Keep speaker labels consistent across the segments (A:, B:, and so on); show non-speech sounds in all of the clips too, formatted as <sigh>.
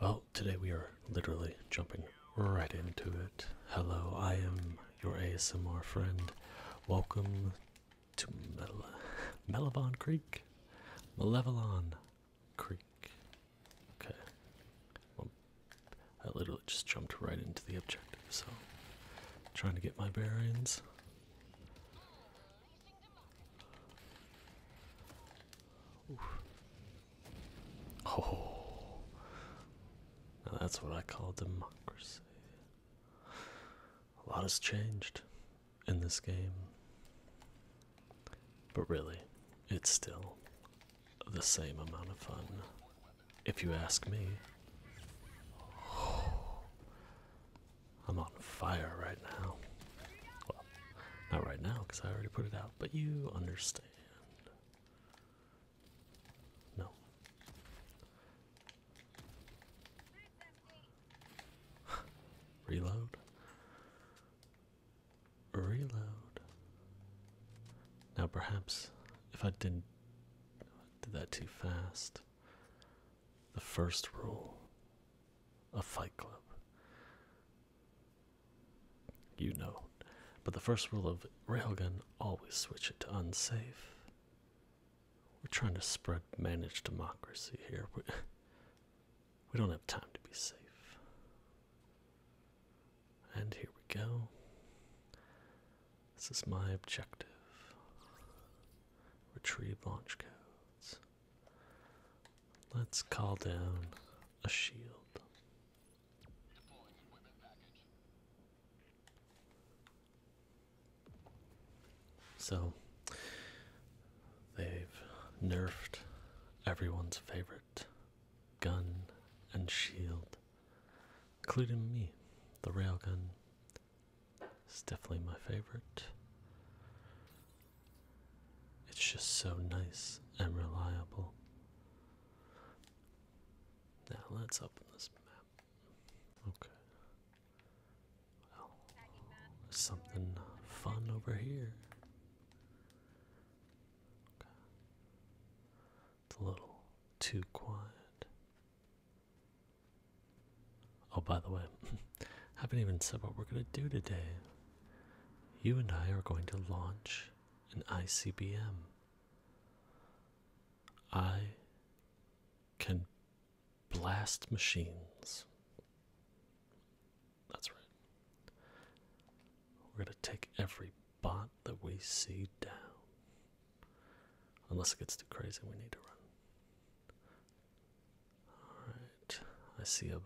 A: Well, today we are literally jumping right into it. Hello, I am your ASMR friend. Welcome to Mel Creek. Malevolon Creek. Okay. I literally just jumped right into the objective, so trying to get my bearings. Oh, that's what I call democracy. A lot has changed in this game, but really, it's still the same amount of fun, if you ask me. <sighs> I'm on fire right now. Not right now, because I already put it out, but you understand. No. <sighs> Reload. Reload. Now, perhaps if I didn't did that too fast, the first rule of Fight Club you know. But the first rule of Railgun always switch it to unsafe. We're trying to spread managed democracy here. We, <laughs> don't have time to be safe. And here we go. This is my objective. Retrieve launch codes. Let's call down a shield. So they've nerfed everyone's favorite gun and shield, including me, the railgun. It's definitely my favorite. It's just so nice and reliable. Now let's open this map. Okay. Well, something fun over here. It's a little too quiet. Oh, by the way, I <laughs> haven't even said what we're gonna do today. You and I are going to launch an ICBM. I can blast machines. That's right. We're going to take every bot that we see down. Unless it gets too crazy, we need to run. Alright, I see a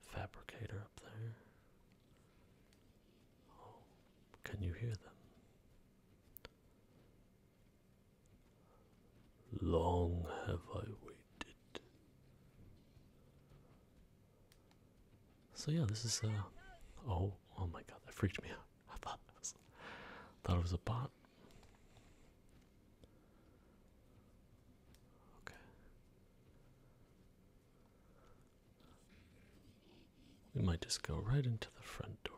A: fabricator up there. Oh, can you hear them? Long have I waited. So yeah, this is a. Uh, oh oh my god that freaked me out. <laughs> I thought it was thought it was a bot. Okay. We might just go right into the front door,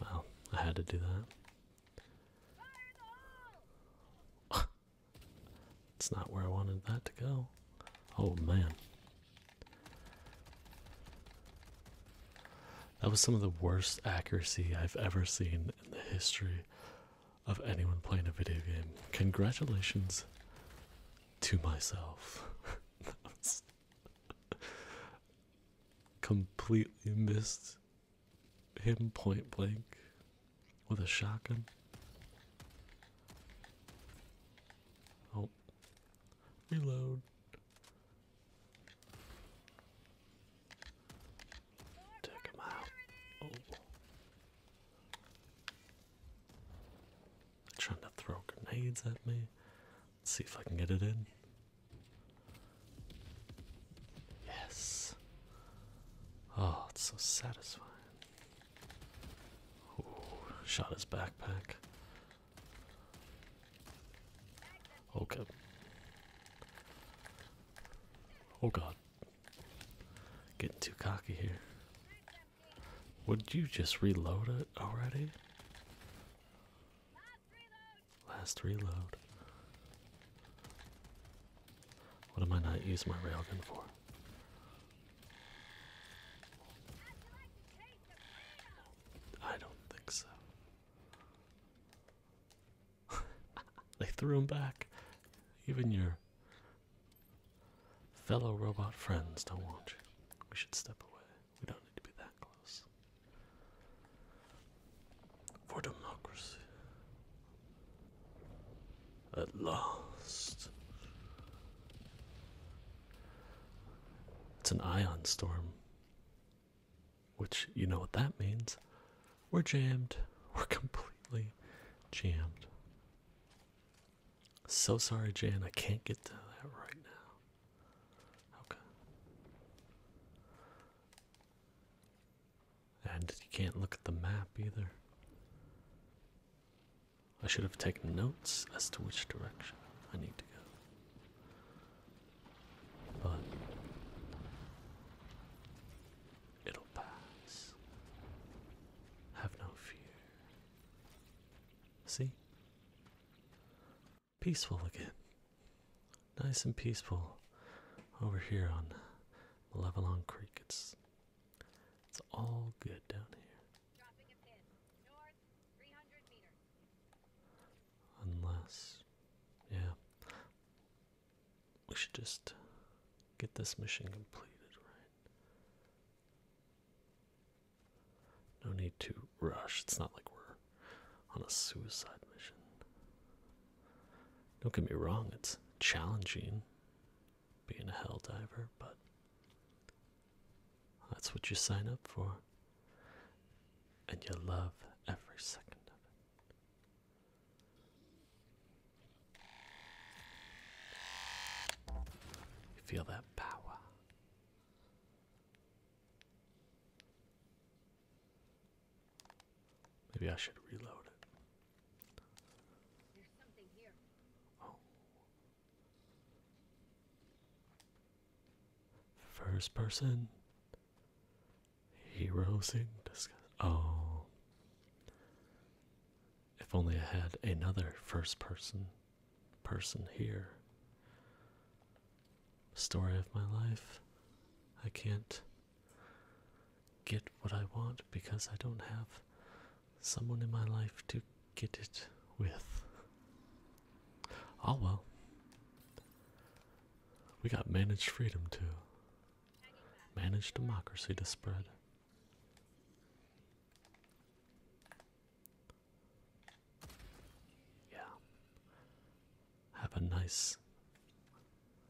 A: right? Well, I had to do that. it's <laughs> not where I wanted that to go. Oh man. That was some of the worst accuracy I've ever seen in the history of anyone playing a video game. Congratulations to myself. <laughs> completely missed him point blank with a shotgun. Oh, reload. Took him out. Oh. Trying to throw grenades at me. Let's see if I can get it in. Yes. Oh, it's so satisfying. shot his backpack. Okay. Oh god. Getting too cocky here. Would you just reload it already? Last reload. What am I not using my railgun for? I don't think so they threw him back. Even your fellow robot friends don't want you. We should step away. We don't need to be that close. For democracy. At last. It's an ion storm. Which, you know what that means. We're jammed. <laughs> We're completely jammed. So sorry, Jan, I can't get to that right now. Okay. And you can't look at the map either. I should have taken notes as to which direction I need to go. But it'll pass. Have no fear. See? Peaceful again. Nice and peaceful over here on Levelon Creek. It's it's all good down here. Unless yeah we should just get this mission completed, right? No need to rush. It's not like we're on a suicide mission. Don't get me wrong, it's challenging being a hell diver, but that's what you sign up for. And you love every second of it feel that power. Maybe I should reload it. Oh. First person Heroes in disguise. Oh. If only I had another first person person here. Story of my life. I can't get what I want because I don't have someone in my life to get it with. Oh well. We got managed freedom to Managed democracy to spread. Yeah. Have a nice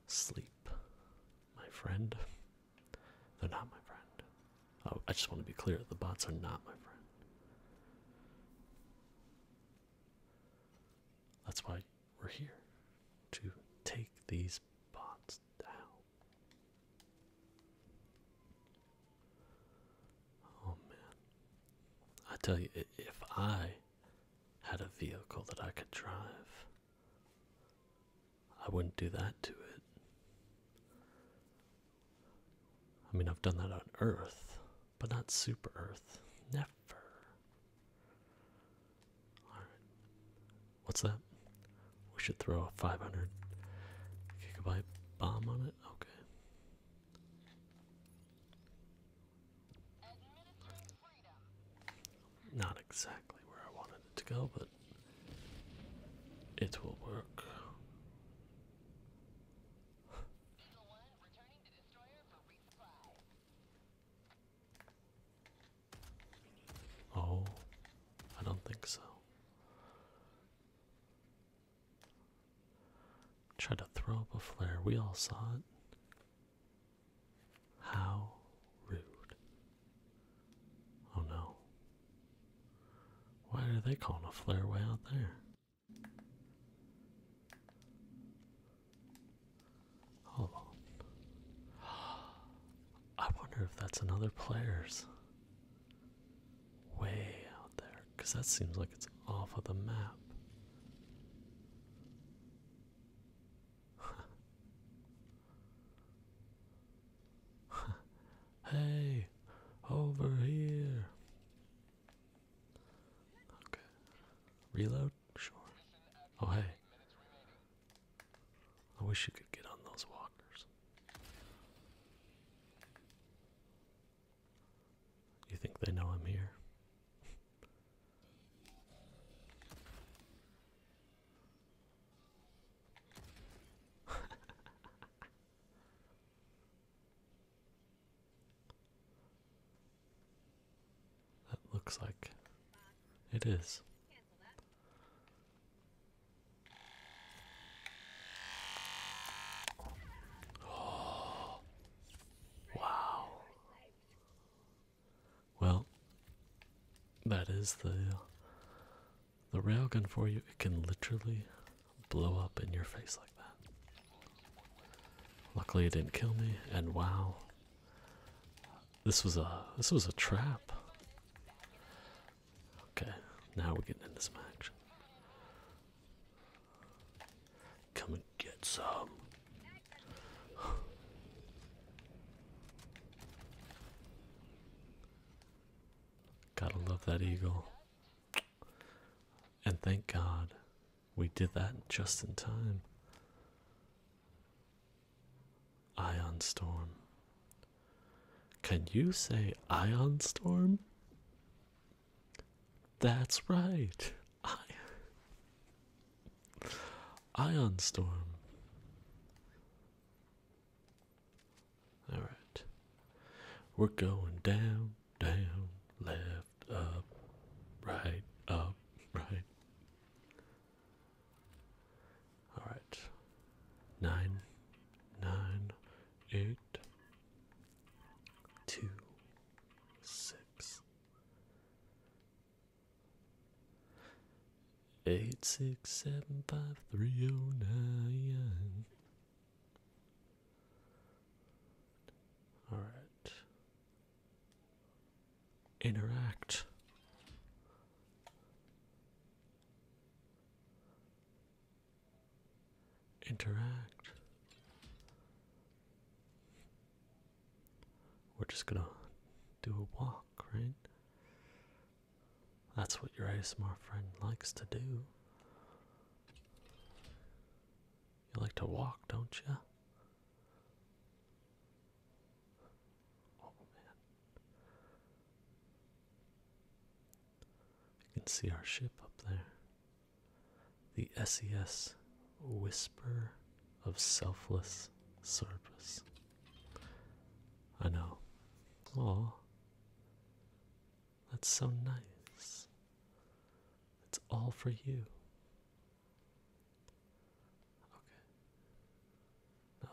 A: sleep, my friend. They're not my friend. Oh, I just want to be clear the bots are not my friend. That's why we're here to take these bots down. Oh man. I tell you, if I had a vehicle that I could drive, I wouldn't do that to it. I mean, I've done that on Earth, but not Super Earth. Never. What's that? We should throw a 500 gigabyte bomb on it? Okay. Not exactly where I wanted it to go, but it will work. Oh, I don't think so. Tried to throw up a flare. We all saw it. How rude. Oh no. Why are they calling a flare way out there? Hold oh. on. I wonder if that's another player's. Way out there. Because that seems like it's off of the map. <laughs> hey, over here. Okay. Reload sure. Oh, hey. I wish you could get on those walkers. You think they know I'm here? <laughs> That looks like it is. Oh, <gasps> wow. Well, that is the the railgun for you. It can literally blow up in your face like Luckily, it didn't kill me. And wow, this was a this was a trap. Okay, now we're getting into some action. Come and get some. <sighs> Gotta love that eagle. And thank God we did that just in time. Ion Storm. Can you say Ion Storm? That's right. Ion Storm. Alright. We're going down down, left, up, right, up, right. All right. Nine, nine, eight, two, six, eight, six, seven, five, three, oh, nine. All right. Interact. Interact. We're just gonna do a walk, right? That's what your ASMR friend likes to do. You like to walk, don't you? Oh, you can see our ship up there. The SES Whisper of Selfless Service. I know. Oh, that's so nice. It's all for you. Okay.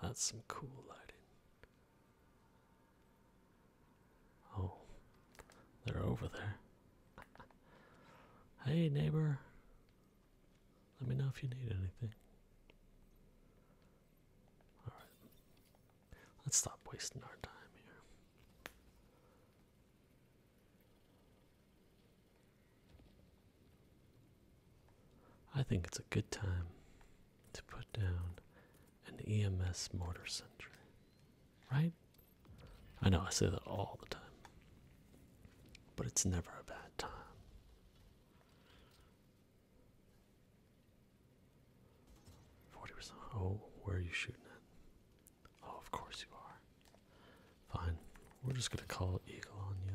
A: that's some cool lighting. Oh, they're over there. <laughs> hey, neighbor. Let me know if you need anything. Alright. Let's stop wasting our time here. I think it's a good time to put down an EMS mortar sentry, right? I know I say that all the time, but it's never a bad time. Forty percent. Oh, where are you shooting at? Oh, of course you are. Fine. We're just gonna call Eagle on you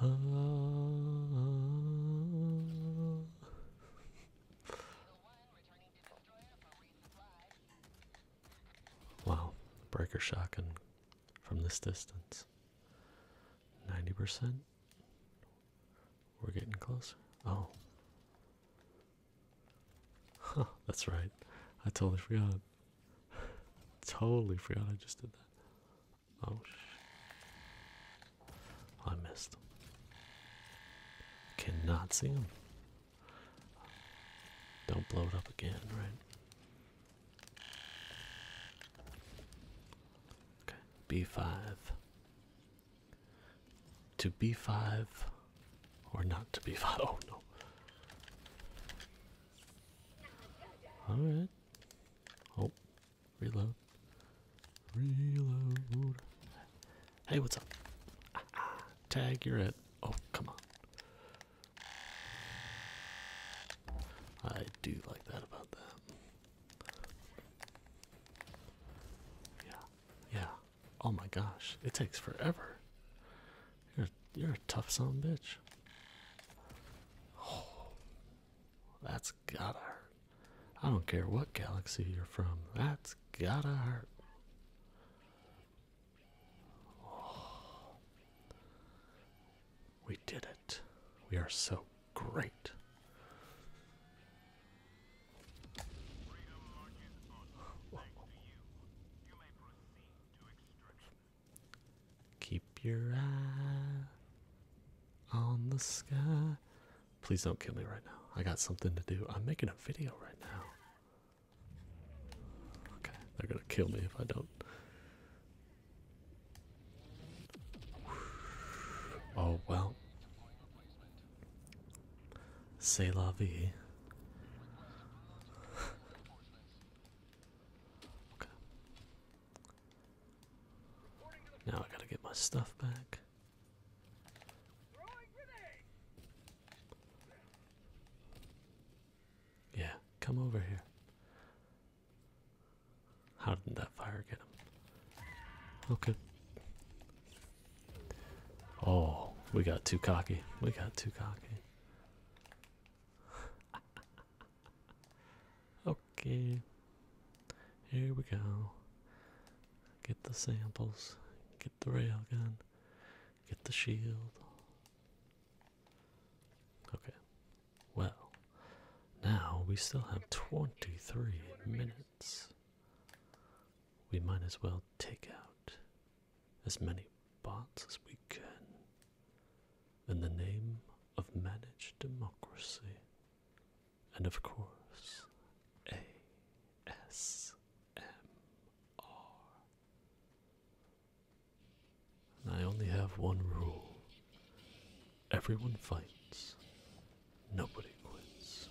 A: then. <laughs> wow, breaker shotgun from this distance. 90%. We're getting closer. Oh. that's right. I totally forgot. <laughs> totally forgot I just did that. Oh, sh I missed. Cannot see him. Don't blow it up again, right? Okay, b5 to b5 or not to be 5 <laughs> Oh no. All right. Oh, reload. Reload. Hey, what's up? <laughs> tag, you're it. Oh, come on. I do like that about that. Yeah, yeah. Oh my gosh, it takes forever. You're you're a tough son bitch. Oh, that's gotta hurt. I don't care what galaxy you're from. That's gotta hurt. Oh. We did it. We are so great. Keep your eye on the sky. Please don't kill me right now. I got something to do. I'm making a video right now. Okay, they're gonna kill me if I don't Oh well. C'est la vie. okay. Now I gotta get my stuff back. Yeah, come over here. How did that fire get him? Okay. Oh, we got too cocky. We got too cocky. <laughs> okay. Here we go. Get the samples. Get the rail gun. Get the shield. Okay. Well, now we still have 23 minutes. We might as well take out as many bots as we can in the name of managed democracy. And of course, ASMR. I only have one rule everyone fights, nobody quits.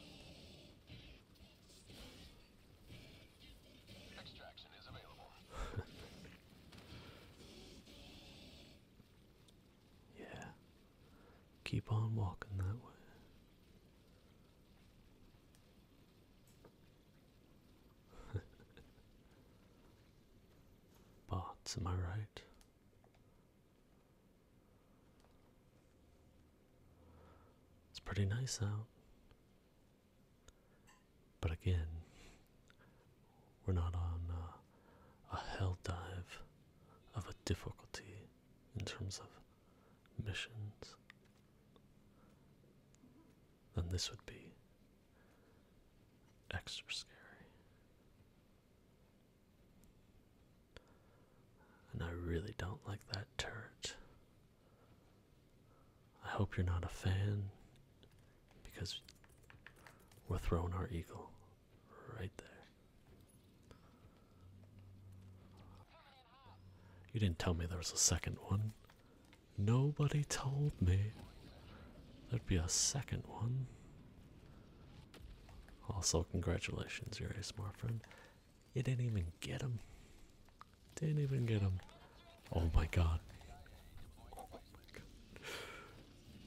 A: <laughs> yeah, keep on walking that way. <laughs> But Am I right? It's pretty nice out. But again, we're not on uh, a hell dive of a difficulty in terms of missions. than this would be Extra scary. And I really don't like that turret. I hope you're not a fan because we're throwing our eagle right there. You didn't tell me there was a second one. Nobody told me there'd be a second one. Also, congratulations, you're a smart friend. You didn't even get him. Didn't even get him. Oh my god.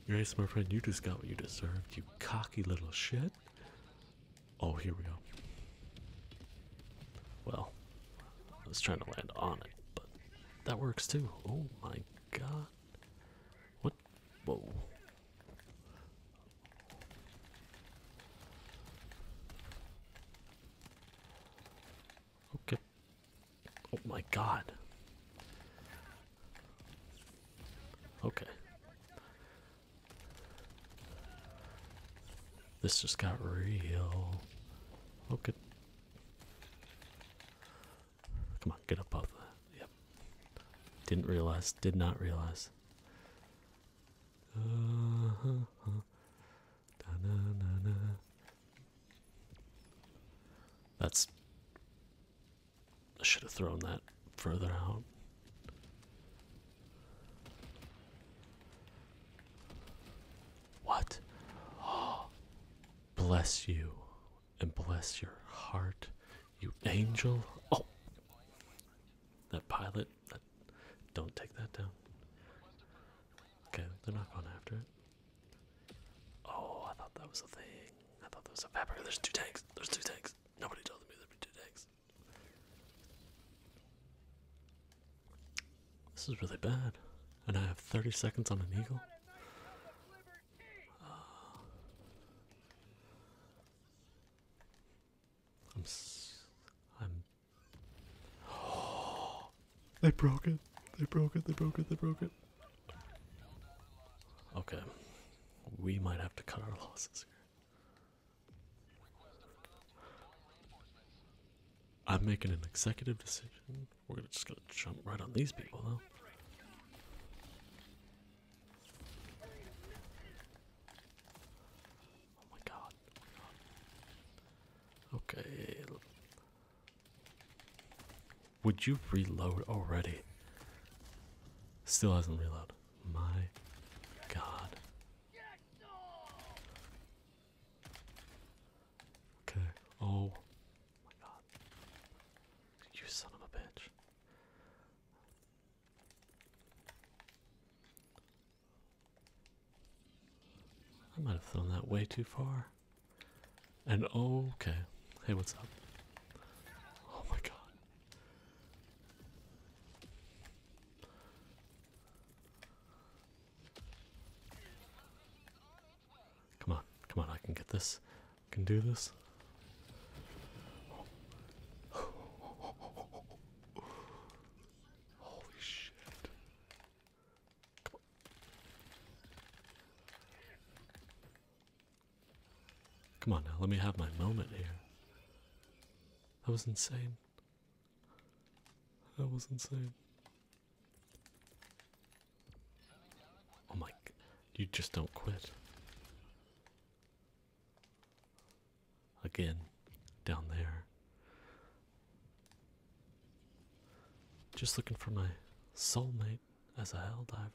A: You're a smart friend, you just got what you deserved, you cocky little shit. Oh, here we go. Well, I was trying to land on it, but that works too. Oh my god. What? Whoa. Okay. Oh my god. Okay. This just got real. Okay. Come on, get up off that. Yep. Didn't realize. Did not realize. Uh-huh, uh-huh. That's. I should have thrown that further out. What? bless you and bless your heart, you angel. Oh, that pilot. That, don't take that down. Okay, they're not going after it. Oh, I thought that was a thing. I thought there was a vapor. There's two tanks. There's two tanks. Nobody told me there'd be two tanks. This is really bad. And I have 30 seconds on an eagle. I'm. S I'm. <gasps> they broke it. They broke it. They broke it. They broke it. Okay, we might have to cut our losses here. I'm making an executive decision. We're just gonna jump right on these people though. Oh my god. Okay. Would you reload already? Still hasn't reloaded. My god. Okay. Oh. oh my god. You son of a bitch. I might have thrown that way too far. And oh, okay. Hey, what's up? Oh my god. Come on, come on, I can get this. I can do this. Holy shit. Come on. Come on now, let me have my moment here. That was insane. That was insane. Oh my, you just don't quit. Again, down there. Just looking for my soulmate as a hell diver.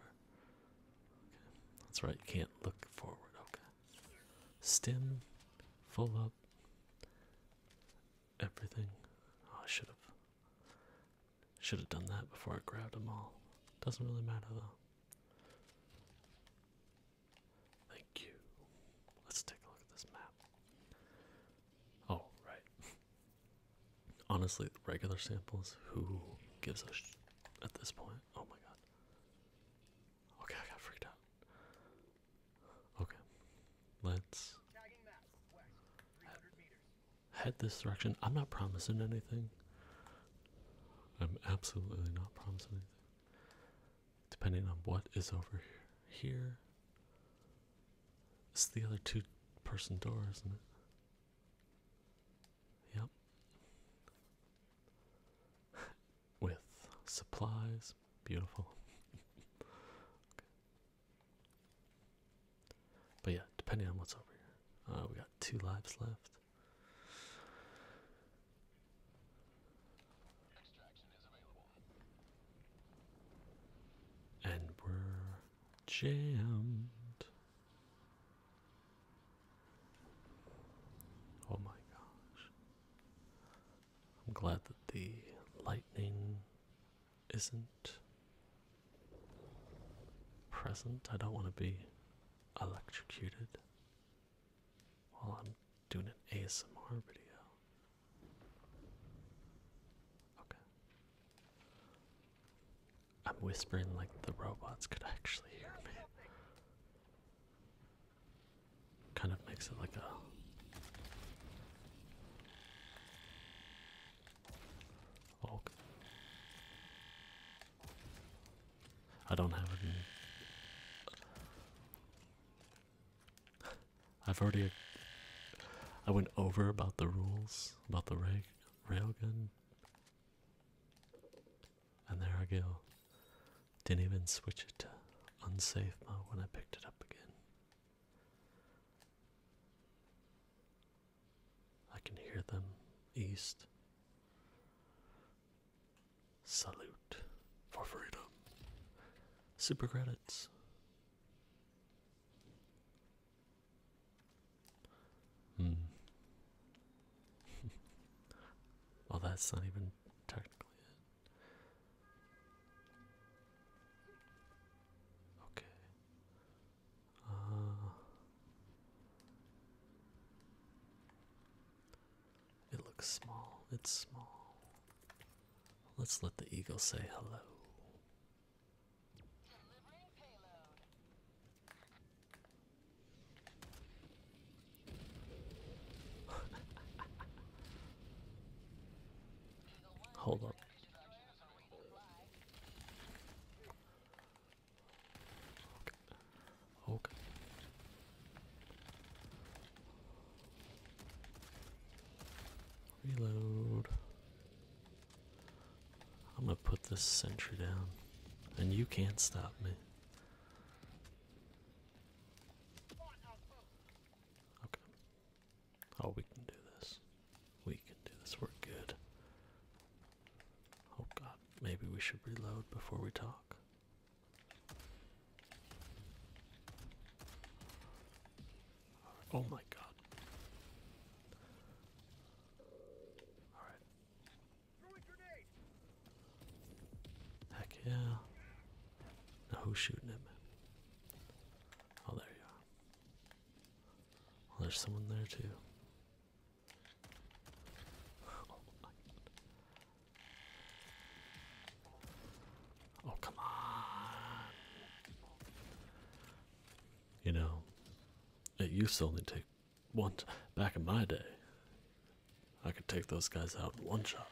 A: That's right, you can't look forward. Okay. Stem, full up, everything. Oh, I should have should have done that before I grabbed them all. Doesn't really matter though. Thank you. Let's take a look at this map. Oh, right. <laughs> Honestly, regular samples, who gives a sh at this point? Oh my god. Okay, I got freaked out. Okay, let's Head this direction. I'm not promising anything. I'm absolutely not promising anything. Depending on what is over here. It's the other two person door, isn't it? Yep. <laughs> With supplies. Beautiful. <laughs> But yeah, depending on what's over here, uh, we got two lives left. And we're jammed. Oh my gosh. I'm glad that the lightning isn't present. I don't want to be electrocuted while I'm doing an ASMR video. Okay. I'm whispering like the robots could actually hear me. Kind of makes it like a Orc. I don't have it. I've already. I went over about the rules about the rag railgun. And there I go. Didn't even switch it to unsafe mode when I picked it up again. I can hear them east. Salute for freedom. Super credits. Hmm. <laughs> well, that's not even technically it. Okay. Uh, it looks small. It's small. Let's let the eagle say hello. <laughs> Hold up. Okay. Reload. I'm gonna put this sentry down, and you can't stop me. Okay. Oh, we can do this. We can do this. We're good. Oh god, maybe we should reload before we talk. Oh my god. Alright. Heck yeah. Now who's shooting him? Oh, there you are. Well, oh, there's someone there too. Oh, oh, come on. You know, it used to only take one. Back in my day, I could take those guys out in one shot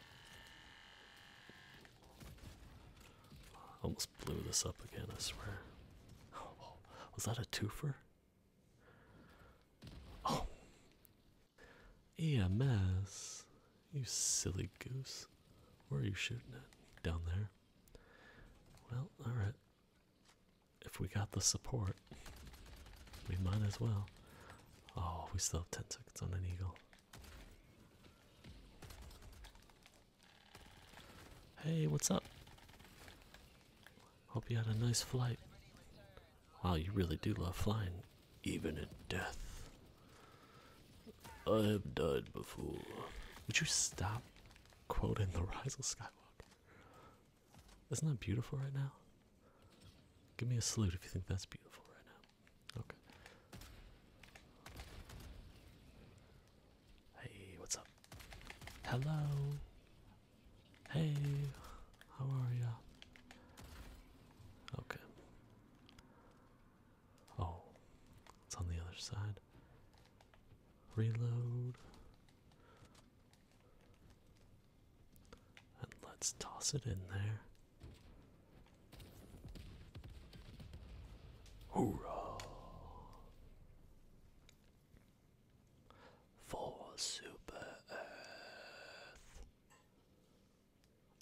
A: almost blew this up again, I swear. Oh, was that a twofer? Oh! EMS! You silly goose. Where are you shooting at? Down there. Well, alright. If we got the support, we might as well. Oh, we still have 10 seconds on an eagle. Hey, what's up? Hope you had a nice flight. Wow, you really do love flying, even in death. I have died before. Would you stop quoting The Rise of Skywalker? Isn't that beautiful right now? Give me a salute if you think that's beautiful right now. Okay. Hey, what's up? Hello. Hey, how are ya? Okay. Oh, it's on the other side. Reload. And let's toss it in there. Hoorah! For Super Earth.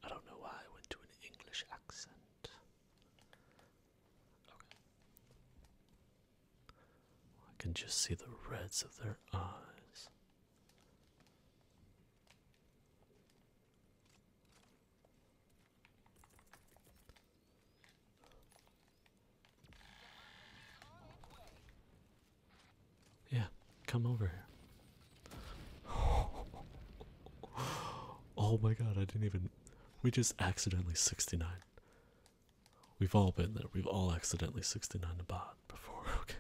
A: I don't know why I went to an English accent. I can just see the reds of their eyes. Yeah, come over here. oh my god, I didn't even. We just accidentally 69. We've all been there. We've all accidentally 69 a bot before, <laughs> okay?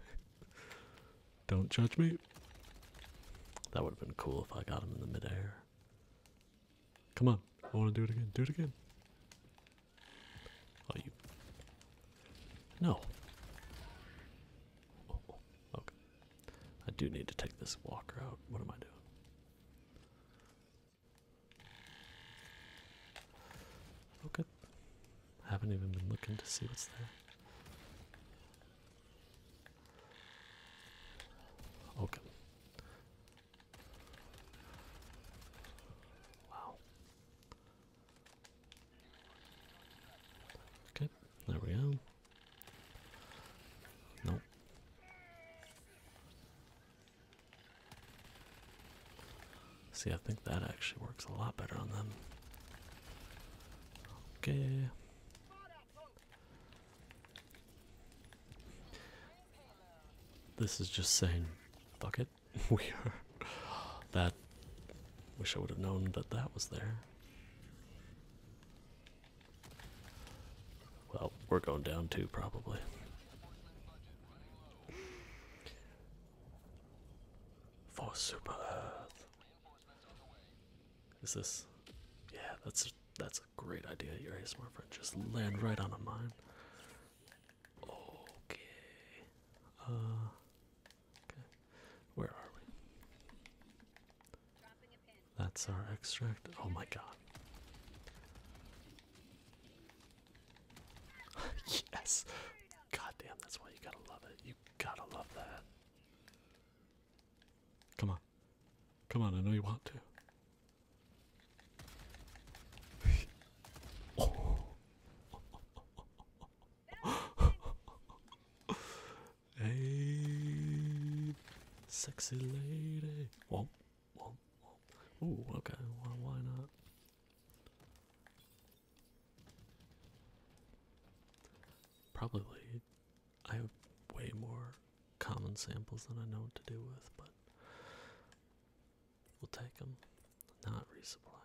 A: Don't judge me. That would have been cool if I got him in the midair. Come on, I want to do it again. Do it again. Oh, you. No. Oh, oh, okay. I do need to take this walker out. What am I doing? Okay. Haven't even been looking to see what's there. Okay. Wow. Okay, there we go. Nope. See, I think that actually works a lot better on them. Okay. This is just saying, fuck it. <laughs> we are. That. Wish I would have known that that was there. Well, we're going down too, probably. For Super Earth. Is this? Yeah, that's that's a great idea, your smart friend. Just land right on a mine. Okay. Uh, okay. Where are we? That's our extract. Oh my god. <laughs> yes. God damn, that's why you gotta love it. You gotta love that. Come on. Come on, I know you want to. <laughs> hey, sexy lady. Whoa, whoa, whoa. Ooh, okay, why, why not? Probably I have way more common samples than I know what to do with, but we'll take them. Not resupply.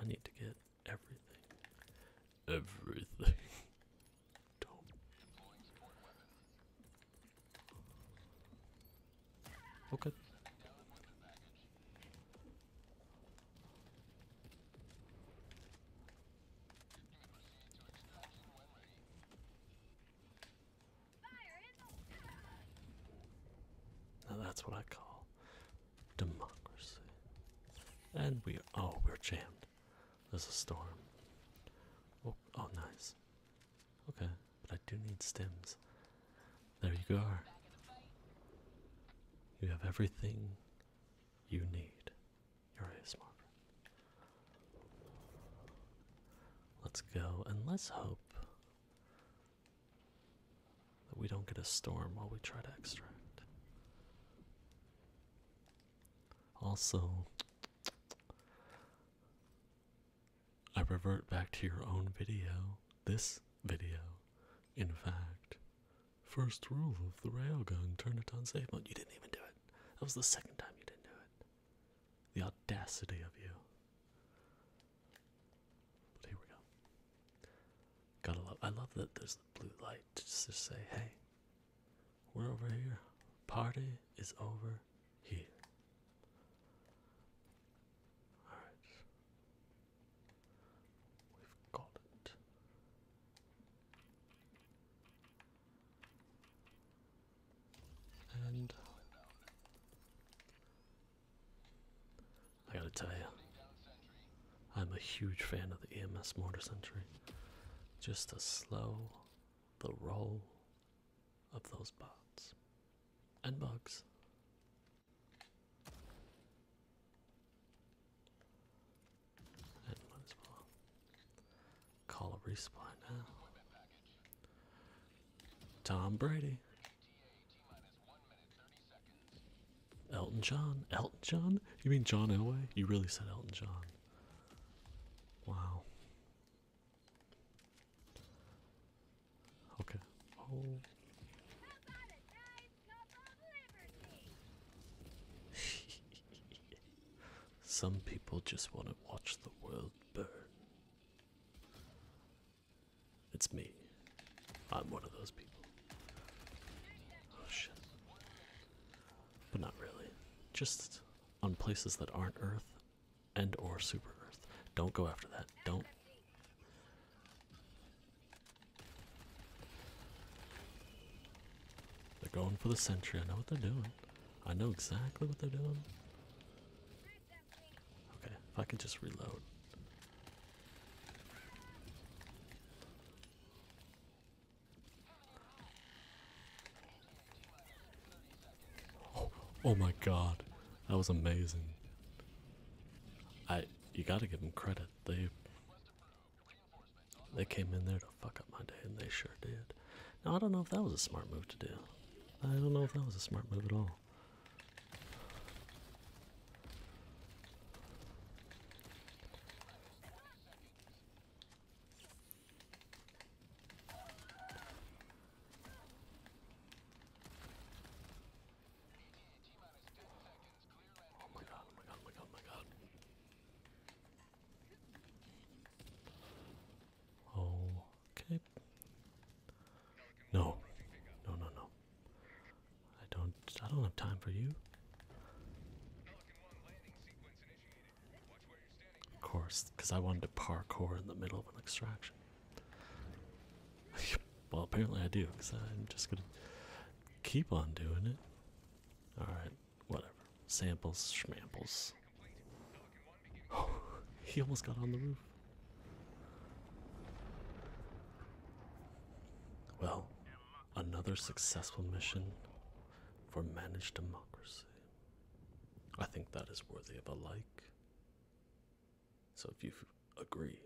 A: I need to get everything. Everything. <laughs> Okay that's what I call democracy. And we oh we're jammed. There's a storm. Oh, oh nice. Okay, but I do need stems. There you go. You have everything you need. You're a smart Let's go and let's hope that we don't get a storm while we try to extract. Also, I revert back to your own video. This video, in fact, First rule of the railgun, turn it on safe mode. You didn't even do it. That was the second time you didn't do it. The audacity of you. But here we go. Gotta love I love that there's the blue light to just to say, hey, we're over here. Party is over here. Alright. We've got it. And I gotta tell you, I'm a huge fan of the EMS Mortar Sentry. Just to slow the roll of those bots and bugs. Call a respawn now. Tom Brady. Elton John. Elton John? You mean John Elway? You really said Elton John. Wow. Okay. Oh. <laughs> Some people just want to watch the world burn. It's me. I'm one of those people. Oh shit. But not really. Just on places that aren't Earth and or super Earth. Don't go after that. Don't they're going for the sentry. I know what they're doing. I know exactly what they're doing. Okay, if I could just reload. Oh, oh my god. That was amazing. I you gotta give them credit. They they came in there to fuck up my day, and they sure did. Now, I don't know if that was a smart move to do. I don't know if that was a smart move at all. Oh my god, oh my god, oh my god, oh my god. Okay. No. No, no, no. I don't I don't have time for you. Of course, because I wanted to parkour in the middle of an extraction. <laughs> well, apparently I do, because I'm just gonna keep on doing it. Alright, whatever. Samples, schmamples. <sighs> he almost got on the roof. Well, another successful mission for managed democracy. I think that is worthy of a like. So if you agree,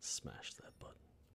A: smash that button.